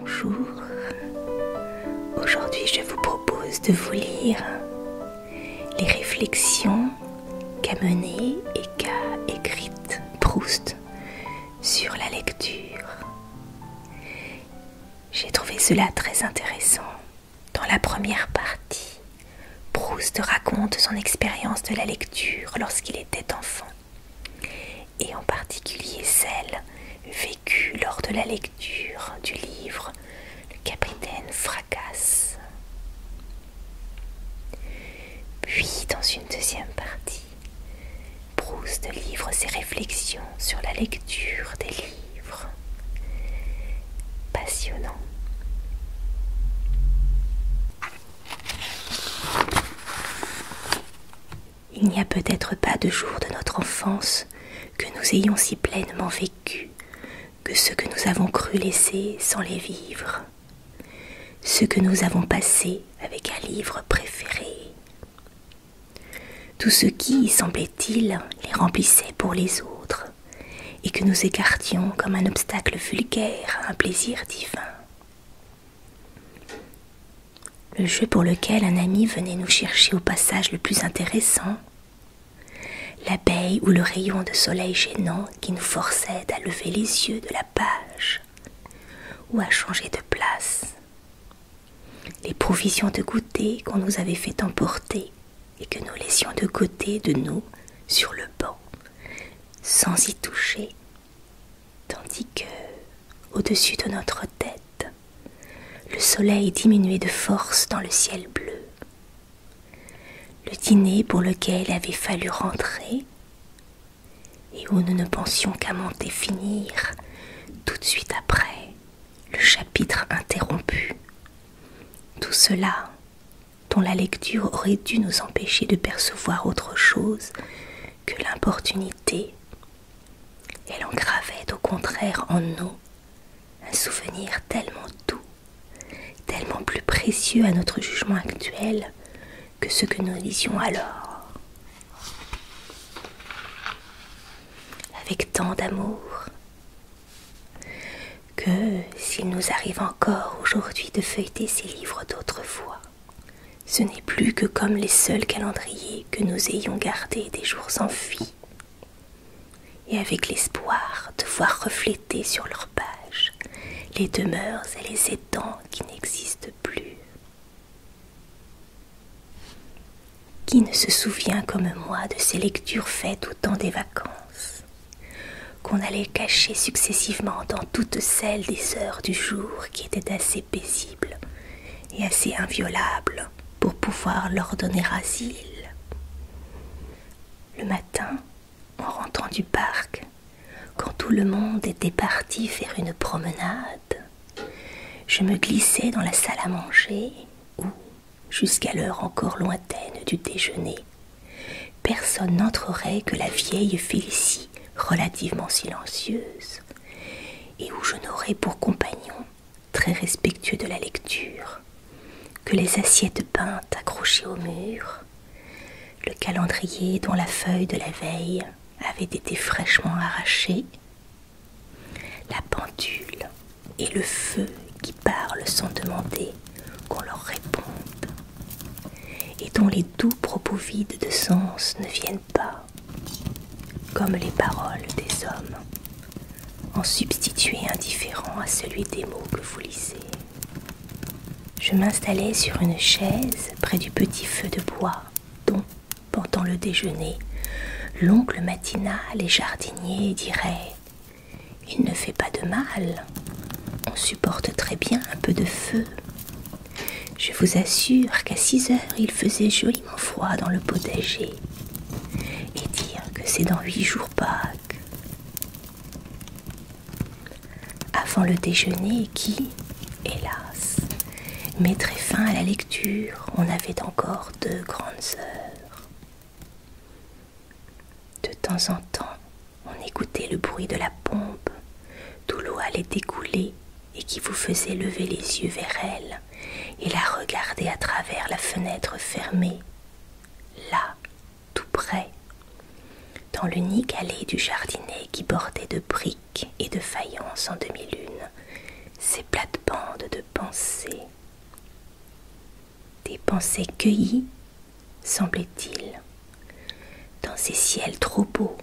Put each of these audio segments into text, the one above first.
Bonjour, aujourd'hui je vous propose de vous lire les réflexions qu'a menées et qu'a écrites Proust sur la lecture. J'ai trouvé cela très intéressant. Dans la première partie, Proust raconte son expérience de la lecture lorsqu'il était enfant, et en particulier celle vécue lors de la lecture du livre Le capitaine fracasse. Puis, dans une deuxième partie, Proust livre ses réflexions sur la lecture des livres. Passionnant. Il n'y a peut-être pas de jour de notre enfance que nous ayons si pleinement vécu que ce que nous avons cru laisser sans les vivre, ce que nous avons passé avec un livre préféré. Tout ce qui, semblait-il, les remplissait pour les autres, et que nous écartions comme un obstacle vulgaire à un plaisir divin. Le jeu pour lequel un ami venait nous chercher au passage le plus intéressant L'abeille ou le rayon de soleil gênant qui nous forçait à lever les yeux de la page ou à changer de place. Les provisions de goûter qu'on nous avait fait emporter et que nous laissions de côté de nous sur le banc, sans y toucher, tandis que, au-dessus de notre tête, le soleil diminuait de force dans le ciel bleu, le dîner pour lequel il avait fallu rentrer et où nous ne pensions qu'à monter finir tout de suite après le chapitre interrompu. Tout cela dont la lecture aurait dû nous empêcher de percevoir autre chose que l'importunité. Elle en gravait au contraire en nous un souvenir tellement doux, tellement plus précieux à notre jugement actuel que ce que nous lisions alors. Avec tant d'amour que s'il nous arrive encore aujourd'hui de feuilleter ces livres d'autrefois, ce n'est plus que comme les seuls calendriers que nous ayons gardés des jours enfuis et avec l'espoir de voir refléter sur leurs pages les demeures et les étangs qui n'existent plus. Qui ne se souvient comme moi de ces lectures faites au temps des vacances, qu'on allait cacher successivement dans toutes celles des heures du jour qui étaient assez paisibles et assez inviolables pour pouvoir leur donner asile. Le matin, en rentrant du parc, quand tout le monde était parti faire une promenade, je me glissais dans la salle à manger où, jusqu'à l'heure encore lointaine du déjeuner, personne n'entrerait que la vieille Félicie, relativement silencieuse, et où je n'aurais pour compagnon très respectueux de la lecture, que les assiettes peintes accrochées au mur, le calendrier dont la feuille de la veille avait été fraîchement arrachée, la pendule et le feu qui parlent sans demander qu'on leur réponde, et dont les doux propos vides de sens ne viennent pas, comme les paroles des hommes, en substituer indifférent à celui des mots que vous lisez. Je m'installais sur une chaise près du petit feu de bois dont, pendant le déjeuner, l'oncle matinal et jardinier diraient Il ne fait pas de mal, on supporte très bien un peu de feu ⁇ Je vous assure qu'à six heures il faisait joliment froid dans le potager et dire que c'est dans huit jours Pâques. Avant le déjeuner qui, hélas, mettrait fin à la lecture, on avait encore deux grandes heures. De temps en temps, on écoutait le bruit de la pompe, d'où l'eau allait découler et qui vous faisait lever les yeux vers elle et la regardait à travers la fenêtre fermée, là, tout près, dans l'unique allée du jardinet qui bordait de briques et de faïence en demi-lune ces plates-bandes de pensées. Des pensées cueillies, semblait-il, dans ces ciels trop beaux,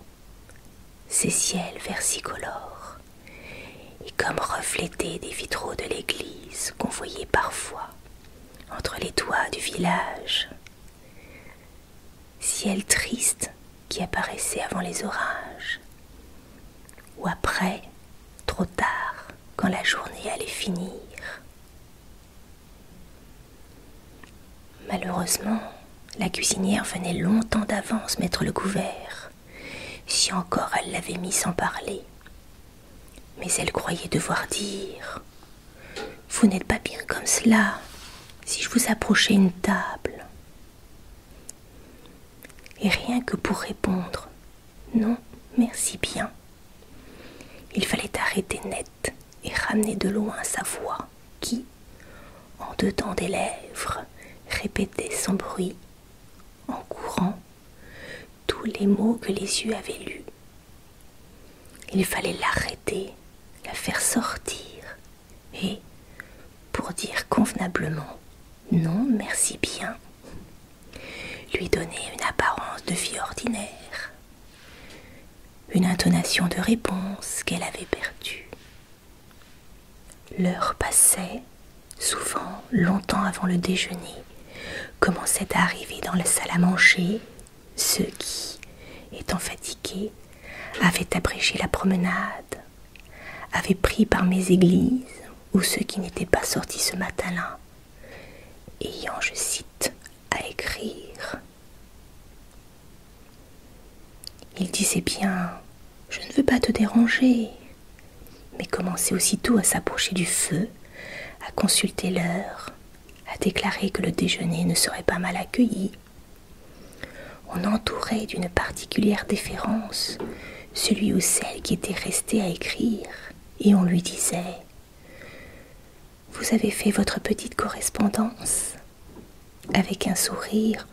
ces ciels versicolores, et comme reflétés des vitraux de l'église qu'on voyait parfois entre les toits du village. Ciel triste qui apparaissait avant les orages, ou après, trop tard, quand la journée allait finir. Malheureusement, la cuisinière venait longtemps d'avance mettre le couvert si encore elle l'avait mis sans parler. Mais elle croyait devoir dire Vous n'êtes pas bien comme cela si je vous approchais une table. Et rien que pour répondre Non, merci bien. Il fallait arrêter net et ramener de loin sa voix qui, en dedans des lèvres, répétait sans bruit en courant tous les mots que les yeux avaient lus. Il fallait l'arrêter, la faire sortir, et, pour dire convenablement non merci bien, lui donner une apparence de vie ordinaire, une intonation de réponse qu'elle avait perdue. L'heure passait, souvent longtemps avant le déjeuner, commençaient à arriver dans la salle à manger ceux qui, étant fatigués, avaient abrégé la promenade, avaient pris par mes églises ou ceux qui n'étaient pas sortis ce matin-là, ayant, je cite, à écrire. Il disait bien, je ne veux pas te déranger, mais commençait aussitôt à s'approcher du feu, à consulter l'heure, à déclarer que le déjeuner ne serait pas mal accueilli. On entourait d'une particulière déférence celui ou celle qui était resté à écrire, et on lui disait Vous avez fait votre petite correspondance avec un sourire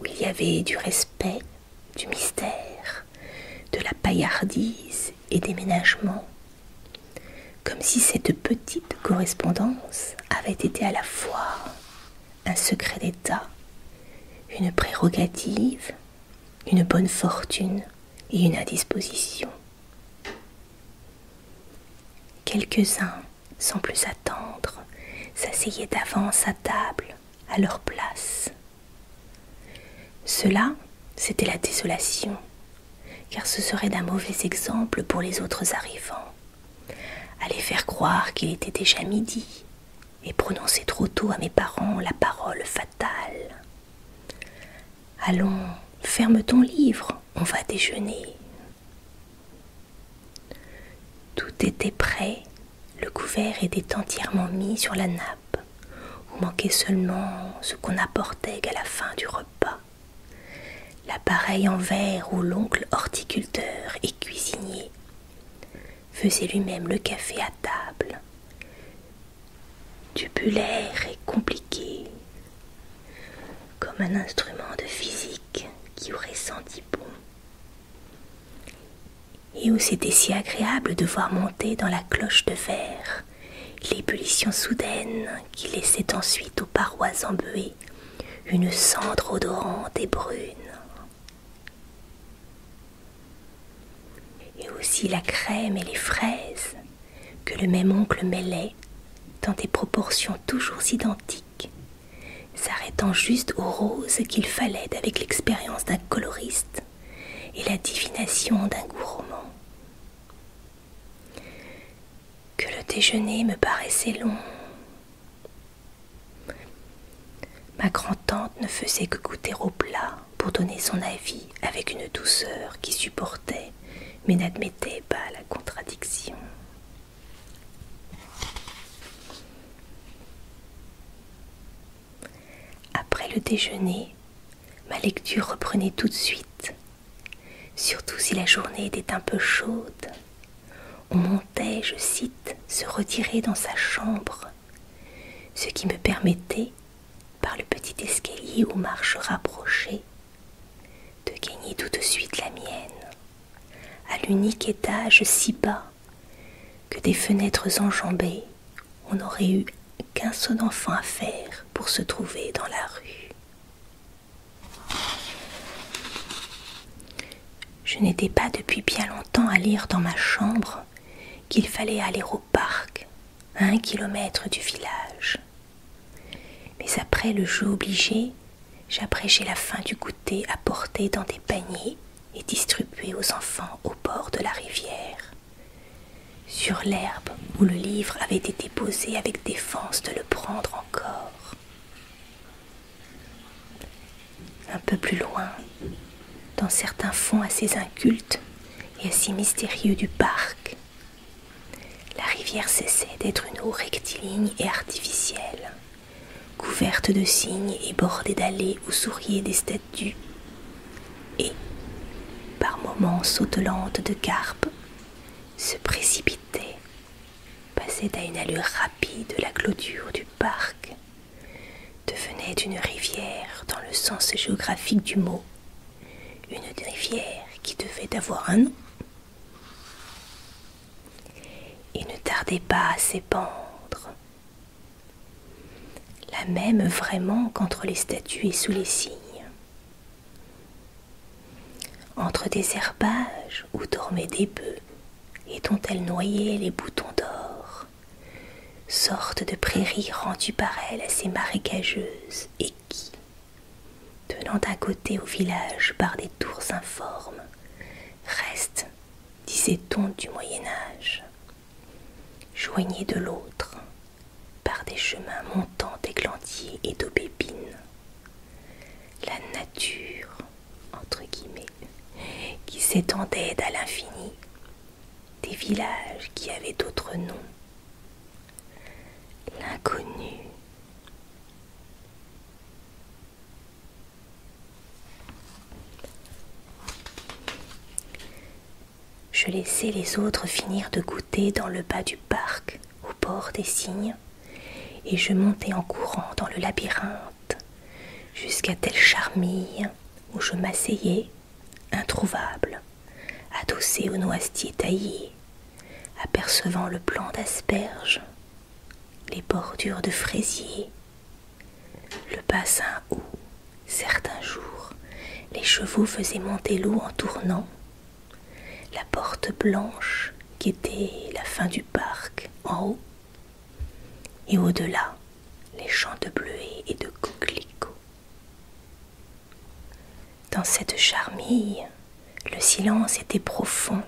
où il y avait du respect, du mystère, de la paillardise et des ménagements, comme si cette petite correspondance avait été à la fois un secret d'État, une prérogative, une bonne fortune et une indisposition. Quelques-uns, sans plus attendre, s'asseyaient d'avance à table, à leur place, cela, c'était la désolation, car ce serait d'un mauvais exemple pour les autres arrivants. Aller faire croire qu'il était déjà midi et prononcer trop tôt à mes parents la parole fatale. Allons, ferme ton livre, on va déjeuner. Tout était prêt, le couvert était entièrement mis sur la nappe où manquait seulement ce qu'on apportait qu'à la fin du repas. L'appareil en verre où l'oncle horticulteur et cuisinier faisait lui-même le café à table. Tubulaire et compliqué, comme un instrument de physique qui aurait senti bon et où c'était si agréable de voir monter dans la cloche de verre l'ébullition soudaine qui laissait ensuite aux parois embuées une cendre odorante et brune. Et aussi la crème et les fraises que le même oncle mêlait dans des proportions toujours identiques, s'arrêtant juste aux roses qu'il fallait avec l'expérience d'un coloriste et la divination d'un gourmand. Que le déjeuner me paraissait long. Ma grand-tante ne faisait que goûter au plat pour donner son avis avec une douceur qui supportait mais n'admettait pas la contradiction. Après le déjeuner, ma lecture reprenait tout de suite, surtout si la journée était un peu chaude. On montait, je cite, se retirer dans sa chambre, ce qui me permettait, par le petit escalier aux marches rapprochées, de gagner tout de suite la mienne, à l'unique étage si bas que des fenêtres enjambées, on n'aurait eu qu'un seul enfant à faire pour se trouver dans la rue. Je n'étais pas depuis bien longtemps à lire dans ma chambre qu'il fallait aller au parc, à un kilomètre du village. Mais après le jeu obligé, j'appréciais la fin du goûter à porter dans des paniers et distribué aux enfants au bord de la rivière. Sur l'herbe où le livre avait été posé avec défense de le prendre encore. Un peu plus loin, dans certains fonds assez incultes et assez mystérieux du parc, la rivière cessait d'être une eau rectiligne et artificielle, couverte de cygnes et bordée d'allées où souriaient des statues et, par moments sautelantes de carpe, se précipitait, passait à une allure rapide la clôture du parc, devenait une rivière dans le sens géographique du mot, une rivière qui devait avoir un nom. et ne tardait pas à s'épandre, la même vraiment qu'entre les statues et sous les cygnes. Entre des herbages où dormaient des bœufs et dont elles noyait les boutons d'or, sorte de prairies rendues par elle assez marécageuses et qui, tenant à côté au village par des tours informes, reste, disait-on du Moyen Âge, joignés de l'autre par des chemins montants d'églantiers et d'aubépines. La nature, entre guillemets, qui s'étendait à l'infini, des villages qui avaient d'autres noms. L'inconnu. Je laissai les autres finir de goûter dans le bas du parc, au bord des cygnes, et je montai en courant dans le labyrinthe, jusqu'à telle charmille où je m'asseyais, introuvable, adossé au noisetier taillé, apercevant le blanc d'asperges, les bordures de fraisiers, le bassin où, certains jours, les chevaux faisaient monter l'eau en tournant, la porte blanche qui était la fin du parc en haut, et au-delà, les champs de bleuets et de coquelicots. Dans cette charmille, le silence était profond,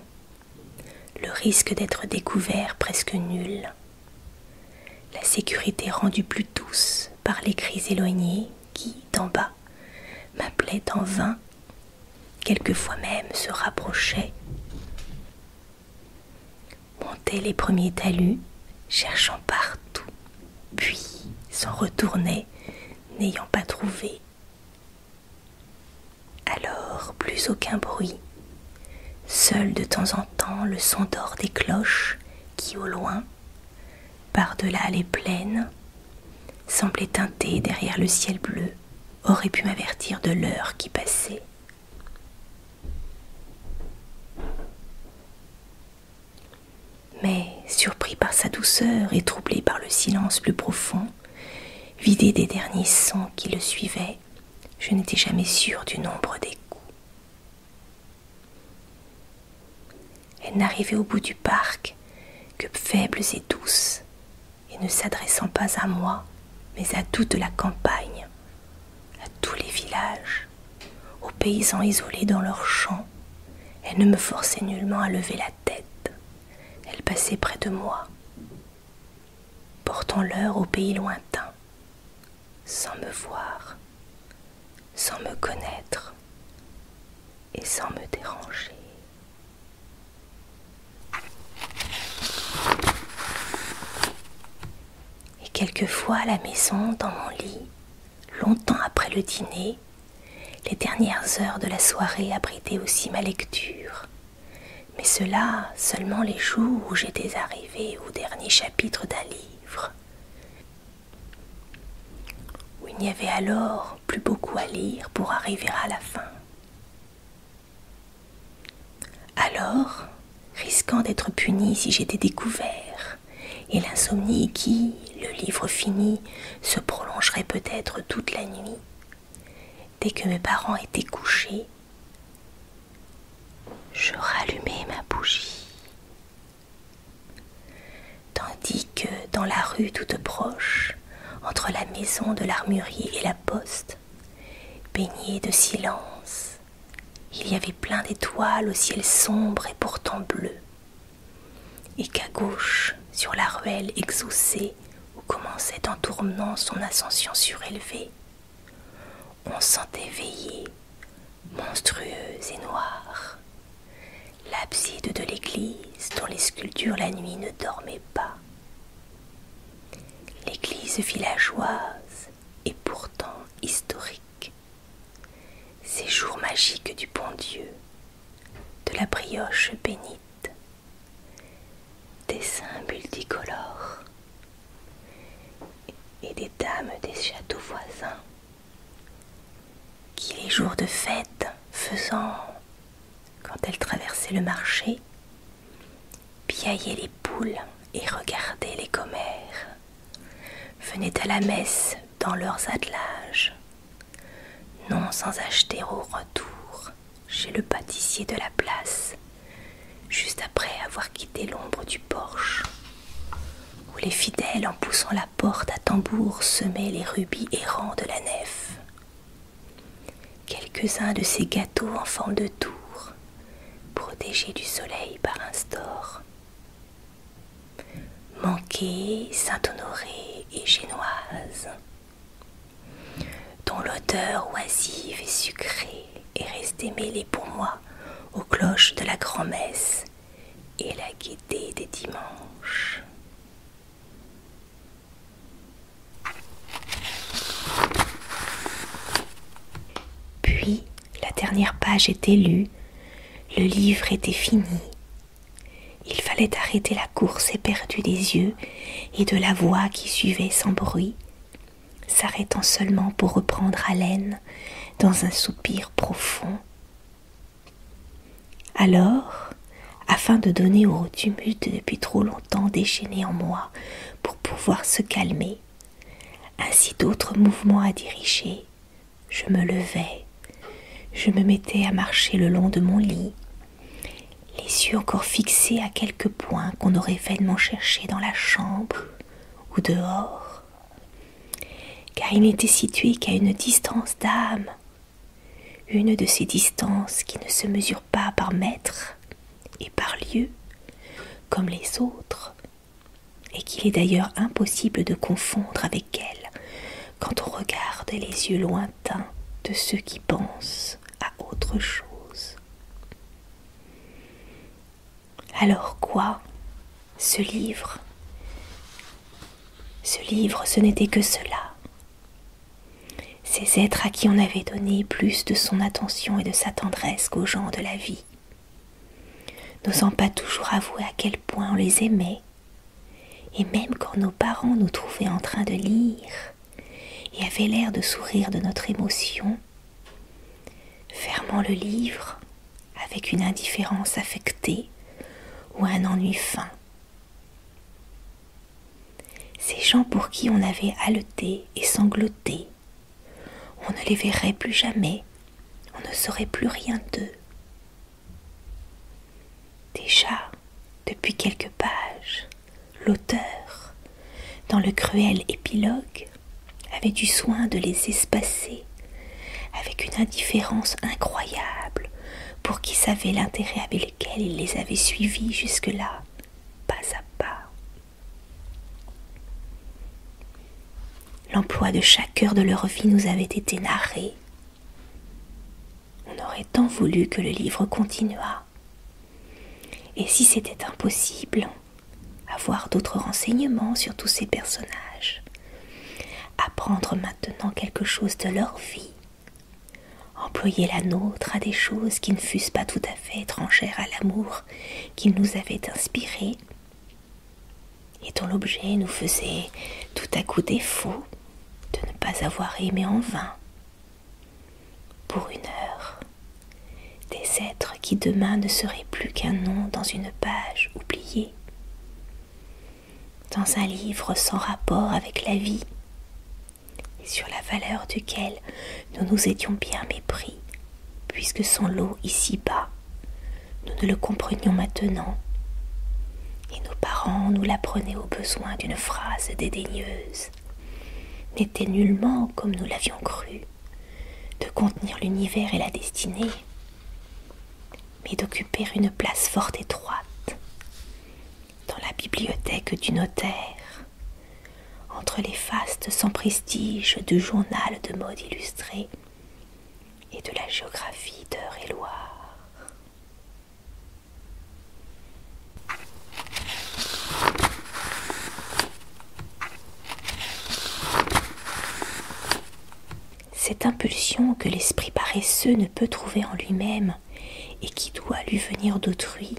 le risque d'être découvert presque nul. La sécurité rendue plus douce par les cris éloignés qui, d'en bas, m'appelaient en vain, quelquefois même se rapprochaient. Montaient les premiers talus, cherchant partout, puis s'en retournaient, n'ayant pas trouvé. Alors plus aucun bruit, Seul de temps en temps le son d'or des cloches qui, au loin, par-delà les plaines, semblait teinter derrière le ciel bleu, aurait pu m'avertir de l'heure qui passait. Mais, surpris par sa douceur et troublé par le silence plus profond, vidé des derniers sons qui le suivaient, je n'étais jamais sûre du nombre des coups. Elle n'arrivait au bout du parc que faibles et douces, et ne s'adressant pas à moi, mais à toute la campagne, à tous les villages, aux paysans isolés dans leurs champs, elle ne me forçait nullement à lever la tête. Elle passait près de moi, portant l'heure au pays lointain, sans me voir, sans me connaître et sans me déranger. Et quelquefois à la maison, dans mon lit, longtemps après le dîner, les dernières heures de la soirée abritaient aussi ma lecture. Mais cela seulement les jours où j'étais arrivée au dernier d'un livre, où il n'y avait alors plus beaucoup à lire pour arriver à la fin. Alors, risquant d'être puni si j'étais découvert, et l'insomnie qui, le livre fini, se prolongerait peut-être toute la nuit, dès que mes parents étaient couchés, je rallumai ma bougie. Tandis que dans la rue toute proche, entre la maison de l'armurier et la poste, baignée de silence, il y avait plein d'étoiles au ciel sombre et pourtant bleu, et qu'à gauche, sur la ruelle exhaussée, où commençait en tournant son ascension surélevée, on sentait veiller, monstrueuse et noire, l'abside de l'église dont les sculptures la nuit ne dormaient pas. L'église villageoise et pourtant historique. Ces jours magiques du bon Dieu, de la brioche bénite, dessins multicolores, et des dames des châteaux voisins qui les jours de fête faisant, quand elles traversaient le marché, piaillaient les poules et regardaient les commères, venaient à la messe dans leurs attelages, non sans acheter au retour chez le pâtissier de la place juste après avoir quitté l'ombre du porche, où les fidèles, en poussant la porte à tambour, semaient les rubis errants de la nef. Quelques-uns de ces gâteaux en forme de tour, protégés du soleil par un store. manqués, Saint-Honoré et Génoise, dont l'odeur oisive et sucrée est restée mêlée pour moi aux cloches de la grand-messe et la gaieté des dimanches. Puis la dernière page était lue, le livre était fini. Il fallait arrêter la course éperdue des yeux et de la voix qui suivait sans bruit s'arrêtant seulement pour reprendre haleine dans un soupir profond. Alors, afin de donner au tumulte depuis trop longtemps déchaîné en moi pour pouvoir se calmer, ainsi d'autres mouvements à diriger, je me levais, je me mettais à marcher le long de mon lit, les yeux encore fixés à quelque point qu'on aurait vainement cherché dans la chambre, ou dehors, car il n'était situé qu'à une distance d'âme, une de ces distances qui ne se mesurent pas par mètre et par lieu, comme les autres, et qu'il est d'ailleurs impossible de confondre avec elles quand on regarde les yeux lointains de ceux qui pensent à autre chose. Alors quoi Ce livre Ce livre, ce n'était que cela. Ces êtres à qui on avait donné plus de son attention et de sa tendresse qu'aux gens de la vie, n'osant pas toujours avouer à quel point on les aimait, et même quand nos parents nous trouvaient en train de lire et avaient l'air de sourire de notre émotion, fermant le livre avec une indifférence affectée ou un ennui fin. Ces gens pour qui on avait haleté et sangloté, on ne les verrait plus jamais, on ne saurait plus rien d'eux. Déjà, depuis quelques pages, l'auteur, dans le cruel épilogue, avait du soin de les espacer avec une indifférence incroyable pour qui savait l'intérêt avec lequel il les avait suivis jusque-là, pas à pas. L'emploi de chaque heure de leur vie nous avait été narré. On aurait tant voulu que le livre continuât. Et si c'était impossible, avoir d'autres renseignements sur tous ces personnages, apprendre maintenant quelque chose de leur vie, employer la nôtre à des choses qui ne fussent pas tout à fait étrangères à l'amour qu'ils nous avaient inspiré et dont l'objet nous faisait tout à coup défaut de ne pas avoir aimé en vain pour une heure, des êtres qui demain ne seraient plus qu'un nom dans une page oubliée, dans un livre sans rapport avec la vie, et sur la valeur duquel nous nous étions bien mépris, puisque son lot ici-bas, nous ne le comprenions maintenant, et nos parents nous l'apprenaient au besoin d'une phrase dédaigneuse, n'était nullement comme nous l'avions cru de contenir l'univers et la destinée, mais d'occuper une place fort étroite dans la bibliothèque du notaire, entre les fastes sans prestige du journal de mode illustré et de la géographie d'heure et loire cette impulsion que l'esprit paresseux ne peut trouver en lui-même et qui doit lui venir d'autrui,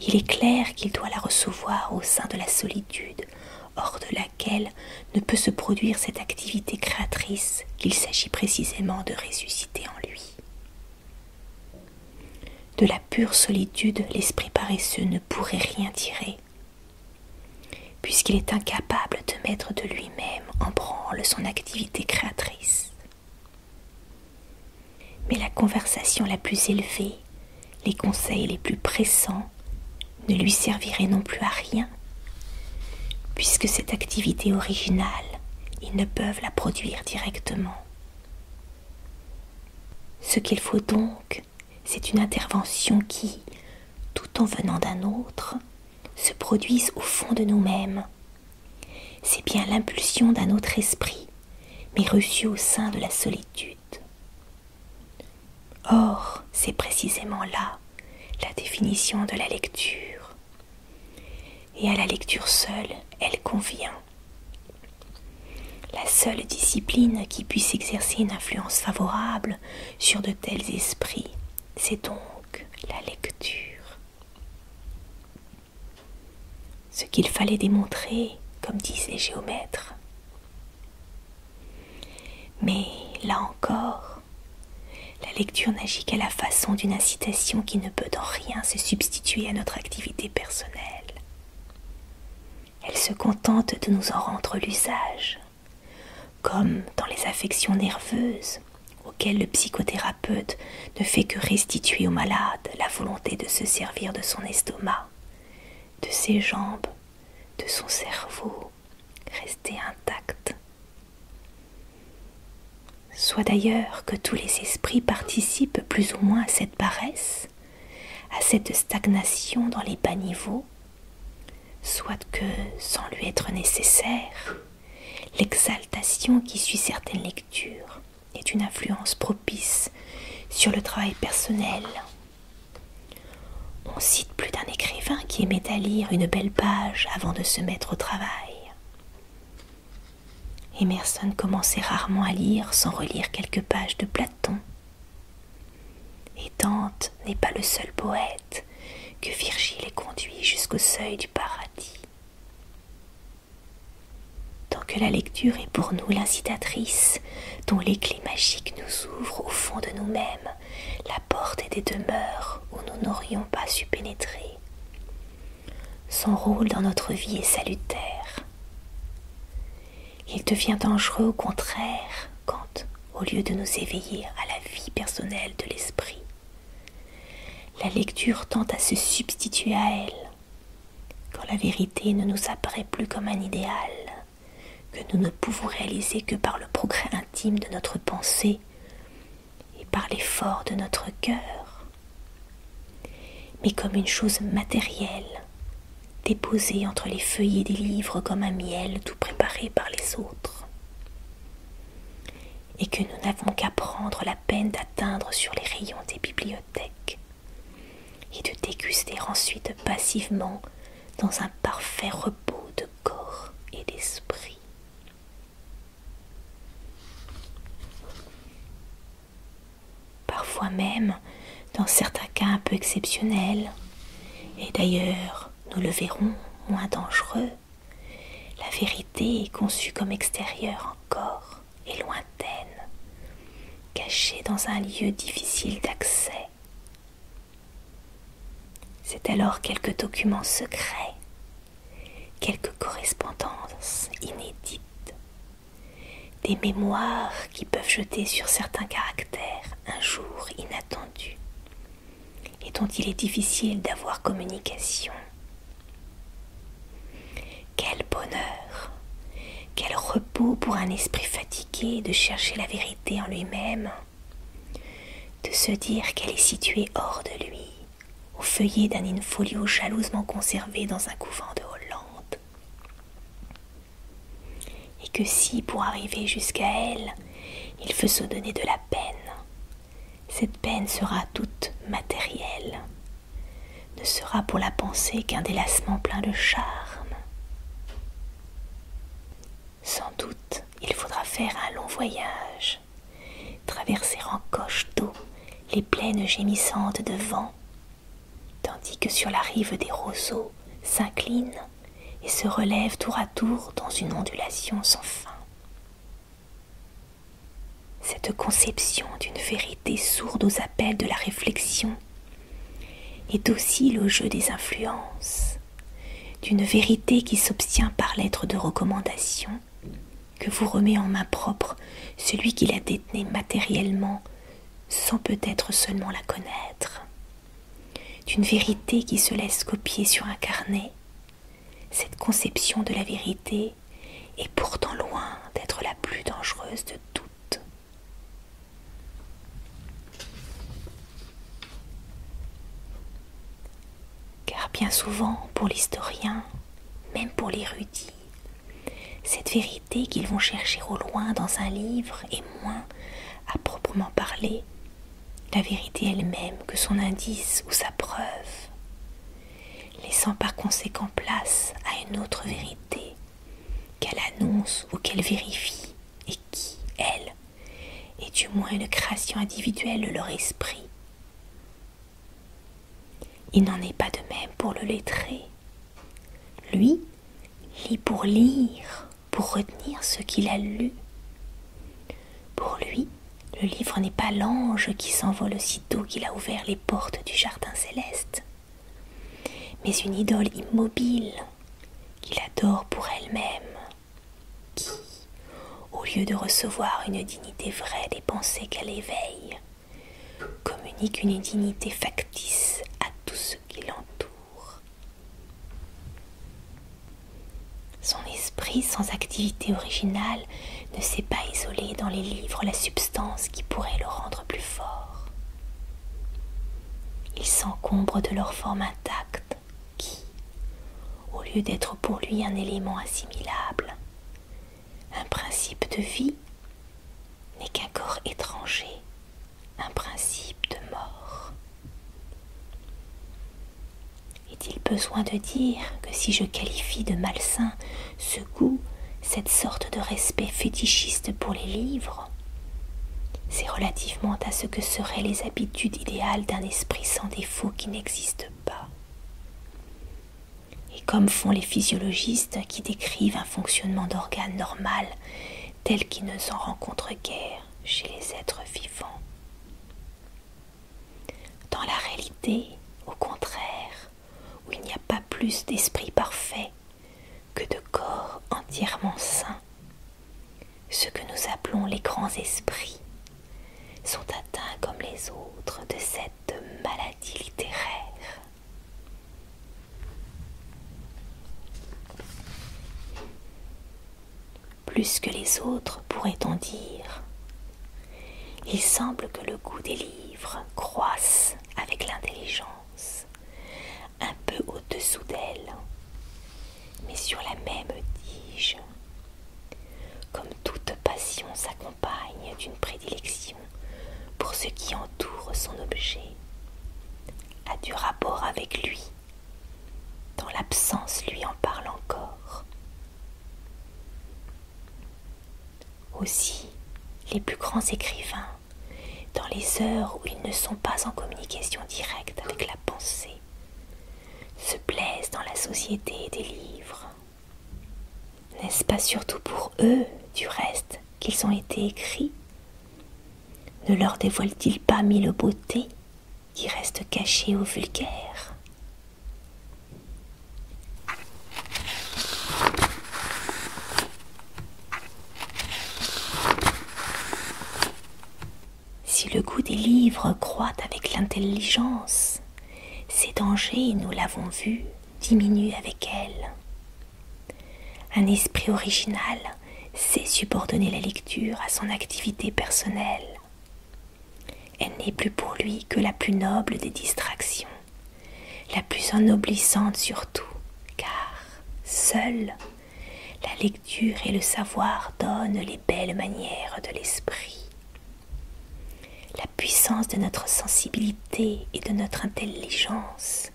il est clair qu'il doit la recevoir au sein de la solitude, hors de laquelle ne peut se produire cette activité créatrice qu'il s'agit précisément de ressusciter en lui. De la pure solitude, l'esprit paresseux ne pourrait rien tirer, puisqu'il est incapable de mettre de lui-même en branle son activité créatrice. Mais la conversation la plus élevée, les conseils les plus pressants ne lui serviraient non plus à rien, puisque cette activité originale, ils ne peuvent la produire directement. Ce qu'il faut donc, c'est une intervention qui, tout en venant d'un autre, se produise au fond de nous-mêmes. C'est bien l'impulsion d'un autre esprit, mais reçue au sein de la solitude. Or, c'est précisément là la définition de la lecture. Et à la lecture seule, elle convient. La seule discipline qui puisse exercer une influence favorable sur de tels esprits, c'est donc la lecture. Ce qu'il fallait démontrer, comme disent les géomètres. Mais là encore, la lecture n'agit qu'à la façon d'une incitation qui ne peut en rien se substituer à notre activité personnelle elle se contente de nous en rendre l'usage, comme dans les affections nerveuses auxquelles le psychothérapeute ne fait que restituer au malade la volonté de se servir de son estomac, de ses jambes, de son cerveau, resté intact. Soit d'ailleurs que tous les esprits participent plus ou moins à cette paresse, à cette stagnation dans les bas niveaux, soit que, sans lui être nécessaire, l'exaltation qui suit certaines lectures est une influence propice sur le travail personnel. On cite plus d'un écrivain qui aimait à lire une belle page avant de se mettre au travail. Emerson commençait rarement à lire sans relire quelques pages de Platon. Et Dante n'est pas le seul poète que Virgile ait conduit jusqu'au seuil du paradis. Tant que la lecture est pour nous l'incitatrice dont les clés magiques nous ouvrent au fond de nous-mêmes la porte des demeures où nous n'aurions pas su pénétrer, son rôle dans notre vie est salutaire. Il devient dangereux au contraire quand, au lieu de nous éveiller à la vie personnelle de l'esprit, la lecture tend à se substituer à elle, quand la vérité ne nous apparaît plus comme un idéal, que nous ne pouvons réaliser que par le progrès intime de notre pensée et par l'effort de notre cœur mais comme une chose matérielle, déposée entre les feuillets des livres comme un miel tout préparé par les autres, et que nous n'avons qu'à prendre la peine d'atteindre sur les rayons des bibliothèques, et de déguster ensuite passivement dans un parfait repos de corps et d'esprit. Parfois même, dans certains cas un peu exceptionnels, et d'ailleurs, nous le verrons, moins dangereux, la vérité est conçue comme extérieure encore et lointaine, cachée dans un lieu difficile d'accès. C'est alors quelques documents secrets, quelques correspondances inédites, des mémoires qui peuvent jeter sur certains caractères un jour inattendu et dont il est difficile d'avoir communication. Quel bonheur, quel repos pour un esprit fatigué de chercher la vérité en lui-même, de se dire qu'elle est située hors de lui, au feuillet d'un infolio jalousement conservé dans un couvent de Hollande. Et que si, pour arriver jusqu'à elle, il faut se donner de la peine, cette peine sera toute matérielle, ne sera pour la pensée qu'un délassement plein de charme. Sans doute, il faudra faire un long voyage, traverser en coche d'eau les plaines gémissantes de vent, tandis que sur la rive des roseaux s'incline et se relèvent tour à tour dans une ondulation sans fin. Cette conception d'une vérité sourde aux appels de la réflexion est aussi le jeu des influences, d'une vérité qui s'obtient par lettre de recommandation, que vous remet en main propre celui qui la détenait matériellement sans peut-être seulement la connaître, d'une vérité qui se laisse copier sur un carnet. Cette conception de la vérité est pourtant loin d'être la plus dangereuse de toutes. Car bien souvent, pour l'historien, même pour l'érudit, cette vérité qu'ils vont chercher au loin dans un livre est moins, à proprement parler, la vérité elle-même que son indice ou sa preuve, laissant par conséquent place à une autre vérité qu'elle annonce ou qu'elle vérifie et qui, elle, est du moins une création individuelle de leur esprit. Il n'en est pas de même pour le lettré lui lit pour lire, pour retenir ce qu'il a lu. Pour lui, le livre n'est pas l'ange qui s'envole aussitôt qu'il a ouvert les portes du jardin céleste, mais une idole immobile qu'il adore pour elle-même, qui, au lieu de recevoir une dignité vraie des pensées qu'elle éveille, communique une dignité factice à tout ce qui l'entoure. Son esprit sans activité originale ne sait pas isoler dans les livres la substance qui pourrait le rendre plus fort. Il s'encombre de leur forme intacte qui, au lieu d'être pour lui un élément assimilable, un principe de vie n'est qu'un corps étranger, un principe de mort. Est-il besoin de dire que si je qualifie de malsain ce goût, cette sorte de respect fétichiste pour les livres, c'est relativement à ce que seraient les habitudes idéales d'un esprit sans défaut qui n'existe pas. Et comme font les physiologistes qui décrivent un fonctionnement d'organes normal tel qu'il ne s'en rencontre guère chez les êtres vivants. Dans la réalité, au contraire, où il n'y a pas plus d'esprit parfait que de corps entièrement sains, ce que nous appelons les grands esprits sont atteints comme les autres de cette maladie littéraire plus que les autres, pourrait-on dire. Il semble que le goût des livres croisse avec l'intelligence, un peu au-dessous d'elle, mais sur la même tige. Comme toute passion s'accompagne d'une prédilection, pour ce qui entoure son objet, a du rapport avec lui, dont l'absence lui en parle encore. Aussi, les plus grands écrivains, dans les heures où ils ne sont pas en communication directe avec la pensée, se plaisent dans la société des livres. N'est-ce pas surtout pour eux, du reste, qu'ils ont été écrits Ne leur dévoile ils il pas mille beautés qui restent cachées au vulgaire Si le goût des livres croît avec l'intelligence, ces dangers, nous l'avons vu, diminue avec elle. Un esprit original sait subordonner la lecture à son activité personnelle. Elle n'est plus pour lui que la plus noble des distractions, la plus ennoblissante surtout, car seule la lecture et le savoir donnent les belles manières de l'esprit la puissance de notre sensibilité et de notre intelligence,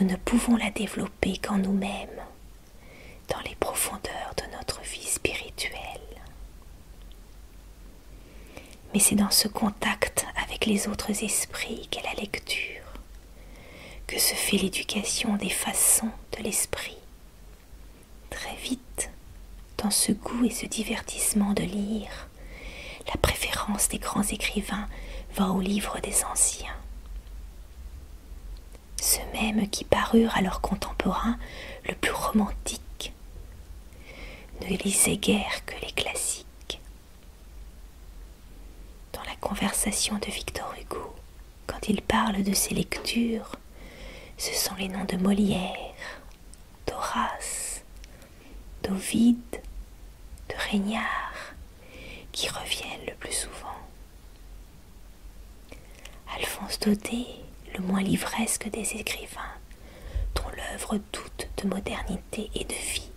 nous ne pouvons la développer qu'en nous-mêmes, dans les profondeurs de notre vie spirituelle. Mais c'est dans ce contact avec les autres esprits qu'est la lecture, que se fait l'éducation des façons de l'esprit. Très vite, dans ce goût et ce divertissement de lire, la préférence des grands écrivains va aux livres des anciens. Ceux mêmes qui parurent à leurs contemporains le plus romantique ne lisaient guère que les classiques. Dans la conversation de Victor Hugo, quand il parle de ses lectures, ce sont les noms de Molière, d'Horace, d'Ovide, de Régnard qui reviennent le plus souvent. Alphonse Daudet, le moins livresque des écrivains, dont l'œuvre doute de modernité et de vie,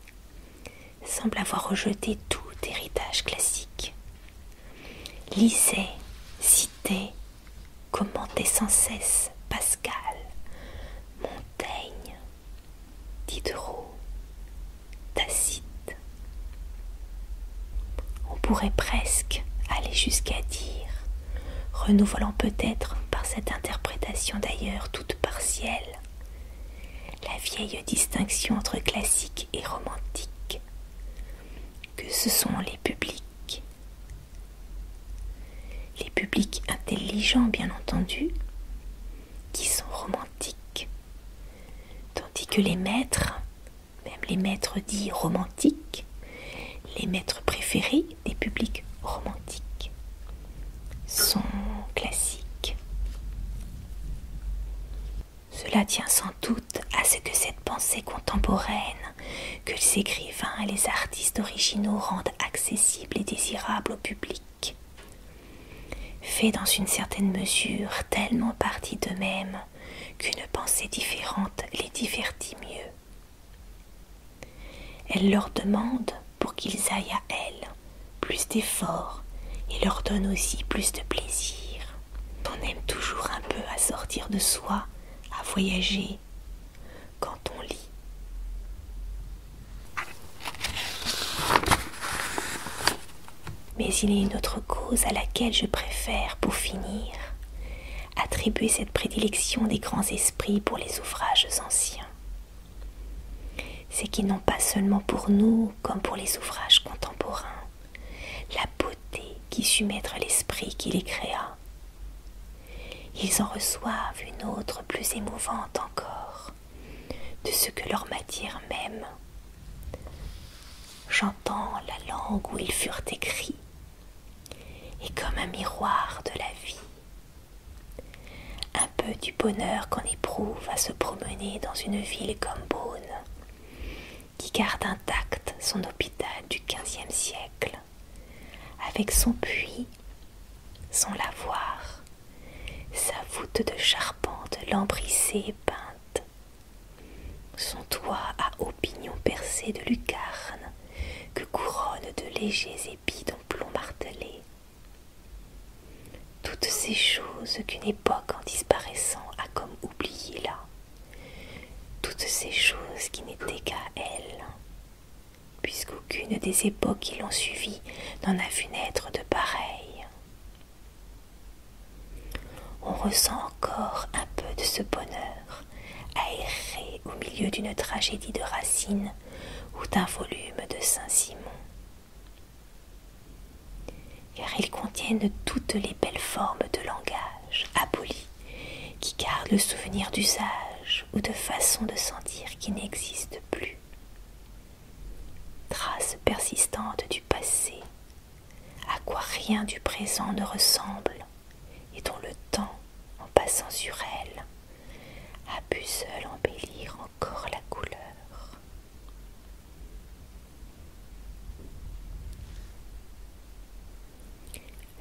semble avoir rejeté tout héritage classique. lisait, citait commentez sans cesse Pascal, Montaigne, Diderot, Tacite. On pourrait presque aller jusqu'à dire, renouvelant peut-être par cette interprétation d'ailleurs toute partielle, la vieille distinction entre classique et romantique, que ce sont les publics les publics intelligents, bien entendu, qui sont romantiques, tandis que les maîtres, même les maîtres dits romantiques, les maîtres préférés des publics romantiques sont classiques. Cela tient sans doute à ce que cette pensée contemporaine que les écrivains et les artistes originaux rendent accessible et désirable au public fait dans une certaine mesure tellement partie d'eux-mêmes qu'une pensée différente les divertit mieux. Elle leur demande, pour qu'ils aillent à elle, plus d'efforts et leur donne aussi plus de plaisir. On aime toujours un peu à sortir de soi, à voyager, quand on lit. Mais il y a une autre cause à laquelle je préfère, pour finir, attribuer cette prédilection des grands esprits pour les ouvrages anciens. C'est qu'ils n'ont pas seulement pour nous, comme pour les ouvrages contemporains, la beauté qui sut mettre l'esprit qui les créa, ils en reçoivent une autre plus émouvante encore, de ce que leur matière même. J'entends la langue où ils furent écrits, et comme un miroir de la vie, un peu du bonheur qu'on éprouve à se promener dans une ville comme Beaune, qui garde intact son hôpital du XVe siècle avec son puits, son lavoir, sa voûte de charpente lambrissée et peinte, son toit à pignons percés de lucarnes que couronnent de légers épis d'un plomb martelé. Toutes ces choses qu'une époque en disparaissant a comme oubliées là, toutes ces choses qui n'étaient qu'à elle puisqu'aucune des époques qui l'ont suivi n'en a vu naître de pareille. On ressent encore un peu de ce bonheur Aéré au milieu d'une tragédie de Racine ou d'un volume de Saint-Simon. Car ils contiennent toutes les belles formes de langage abolies qui gardent le souvenir d'usage ou de façon de sentir qui n'existe plus. Trace persistante du passé, à quoi rien du présent ne ressemble et dont le temps, en passant sur elle, a pu seul embellir encore la couleur.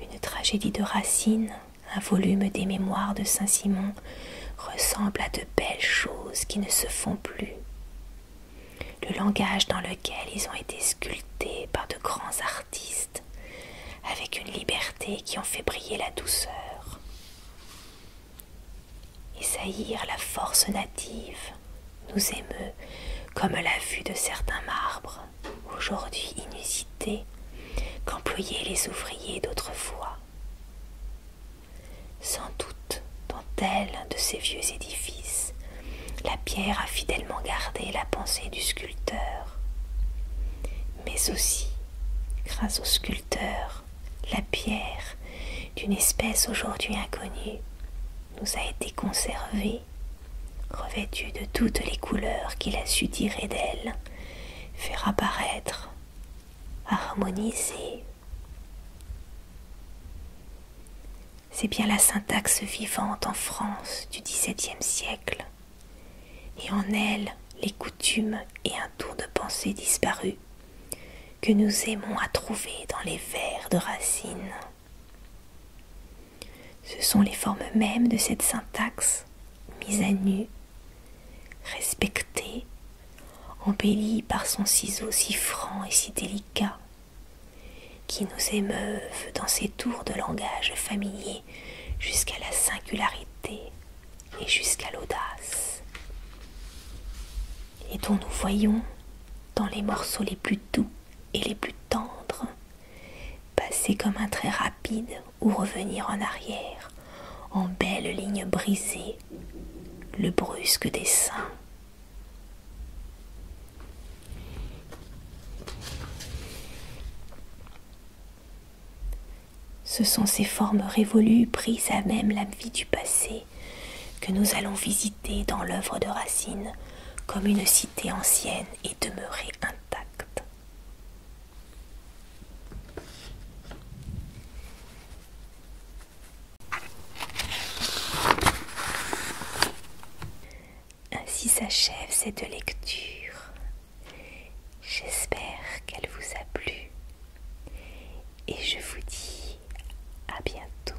Une tragédie de racines un volume des mémoires de Saint-Simon ressemble à de belles choses qui ne se font plus. Le langage dans lequel ils ont été sculptés par de grands artistes, avec une liberté qui en fait briller la douceur. Et saillir la force native nous émeut comme la vue de certains marbres, aujourd'hui inusités qu'employaient les ouvriers d'autrefois. Sans doute, dans tel de ces vieux édifices, la pierre a fidèlement gardé la pensée du sculpteur. Mais aussi, grâce au sculpteur, la pierre, d'une espèce aujourd'hui inconnue, nous a été conservée, revêtue de toutes les couleurs qu'il a su tirer d'elle faire apparaître, harmoniser. C'est bien la syntaxe vivante en France du XVIIe siècle, et en elle les coutumes et un tour de pensée disparu que nous aimons à trouver dans les vers de Racine. Ce sont les formes mêmes de cette syntaxe mise à nu respecté, embellie par son ciseau si franc et si délicat, qui nous émeuve dans ses tours de langage familier jusqu'à la singularité et jusqu'à l'audace, et dont nous voyons, dans les morceaux les plus doux et les plus tendres, passer comme un trait rapide ou revenir en arrière, en belle ligne brisées, le brusque dessin. Ce sont ces formes révolues prises à même la vie du passé que nous allons visiter dans l'œuvre de Racine comme une cité ancienne et demeurée intacte. Ainsi s'achève cette lecture. J'espère qu'elle vous a plu et je vous dis à bientôt.